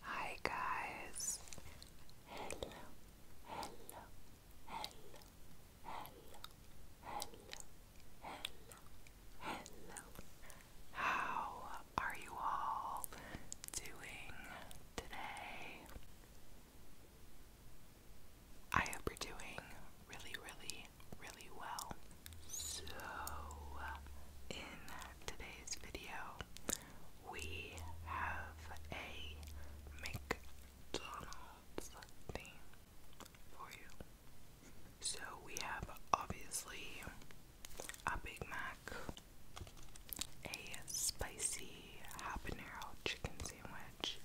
Hi guys. Hello. Hello. Hello. Hello. Hello. Hello. How are you all doing today? I hope you're doing really, really, really well. So, in today's video, we have a McDonald's theme for you. So, we have obviously a Big Mac, a spicy habanero chicken sandwich,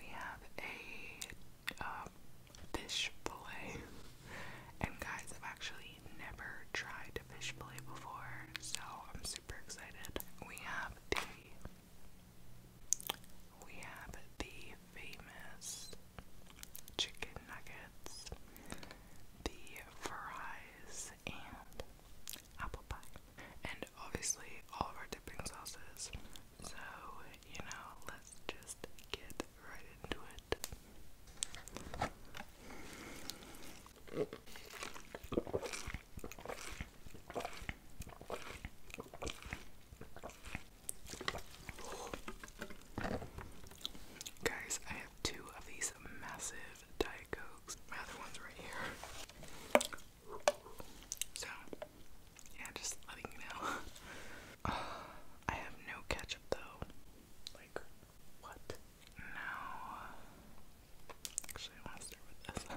we have a uh, fish fillet. And guys, I've actually never tried fish fillet before, so I'm super excited. We have the we have the famous chicken nuggets, the fries, and apple pie. And obviously all of our dipping sauces. So, you know, let's just get right into it. Guys, I have two of these massive Diet Cokes. My other one's right here. So, yeah, just letting you I have no ketchup though. Like, what? No. Actually, I want to start with this.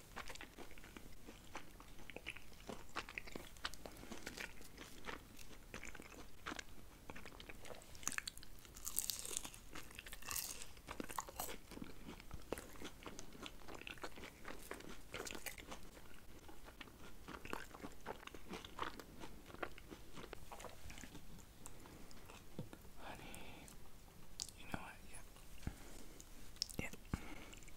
Honey, you know what? Yeah. Yeah.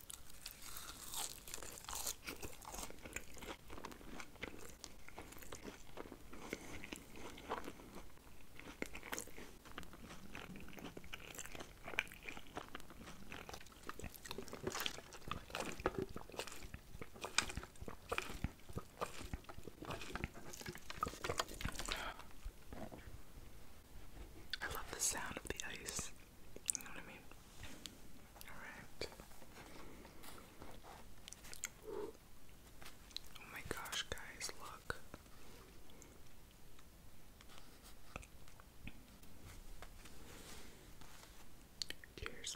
I love the sound of the ice. You know what I mean? Alright. Oh my gosh, guys, look. Cheers.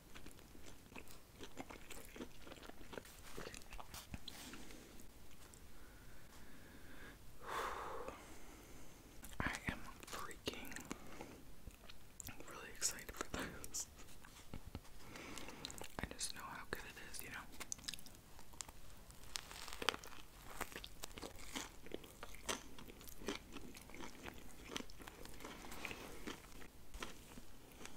I am freaking really excited for this. I just know how good it is, you know.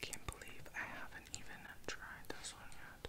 Can't believe I haven't even tried this one yet.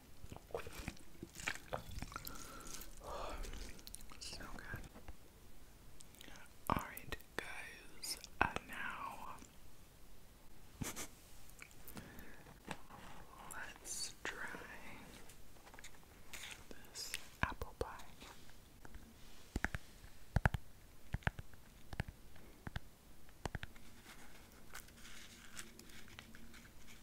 Oh, so Alright, guys, uh, now let's try this apple pie.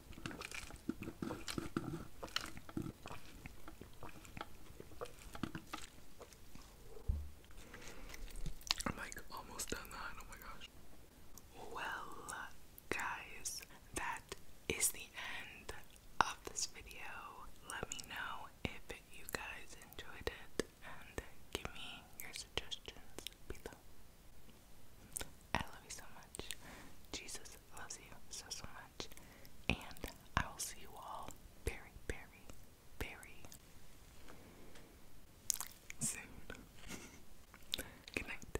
I'm like almost done Oh my gosh. Well, guys, that is the end of this video. Let me know if you guys enjoyed it and give me your suggestions I love you so much. Jesus loves you so, so much. And I will see you all very, very, very soon. Good night.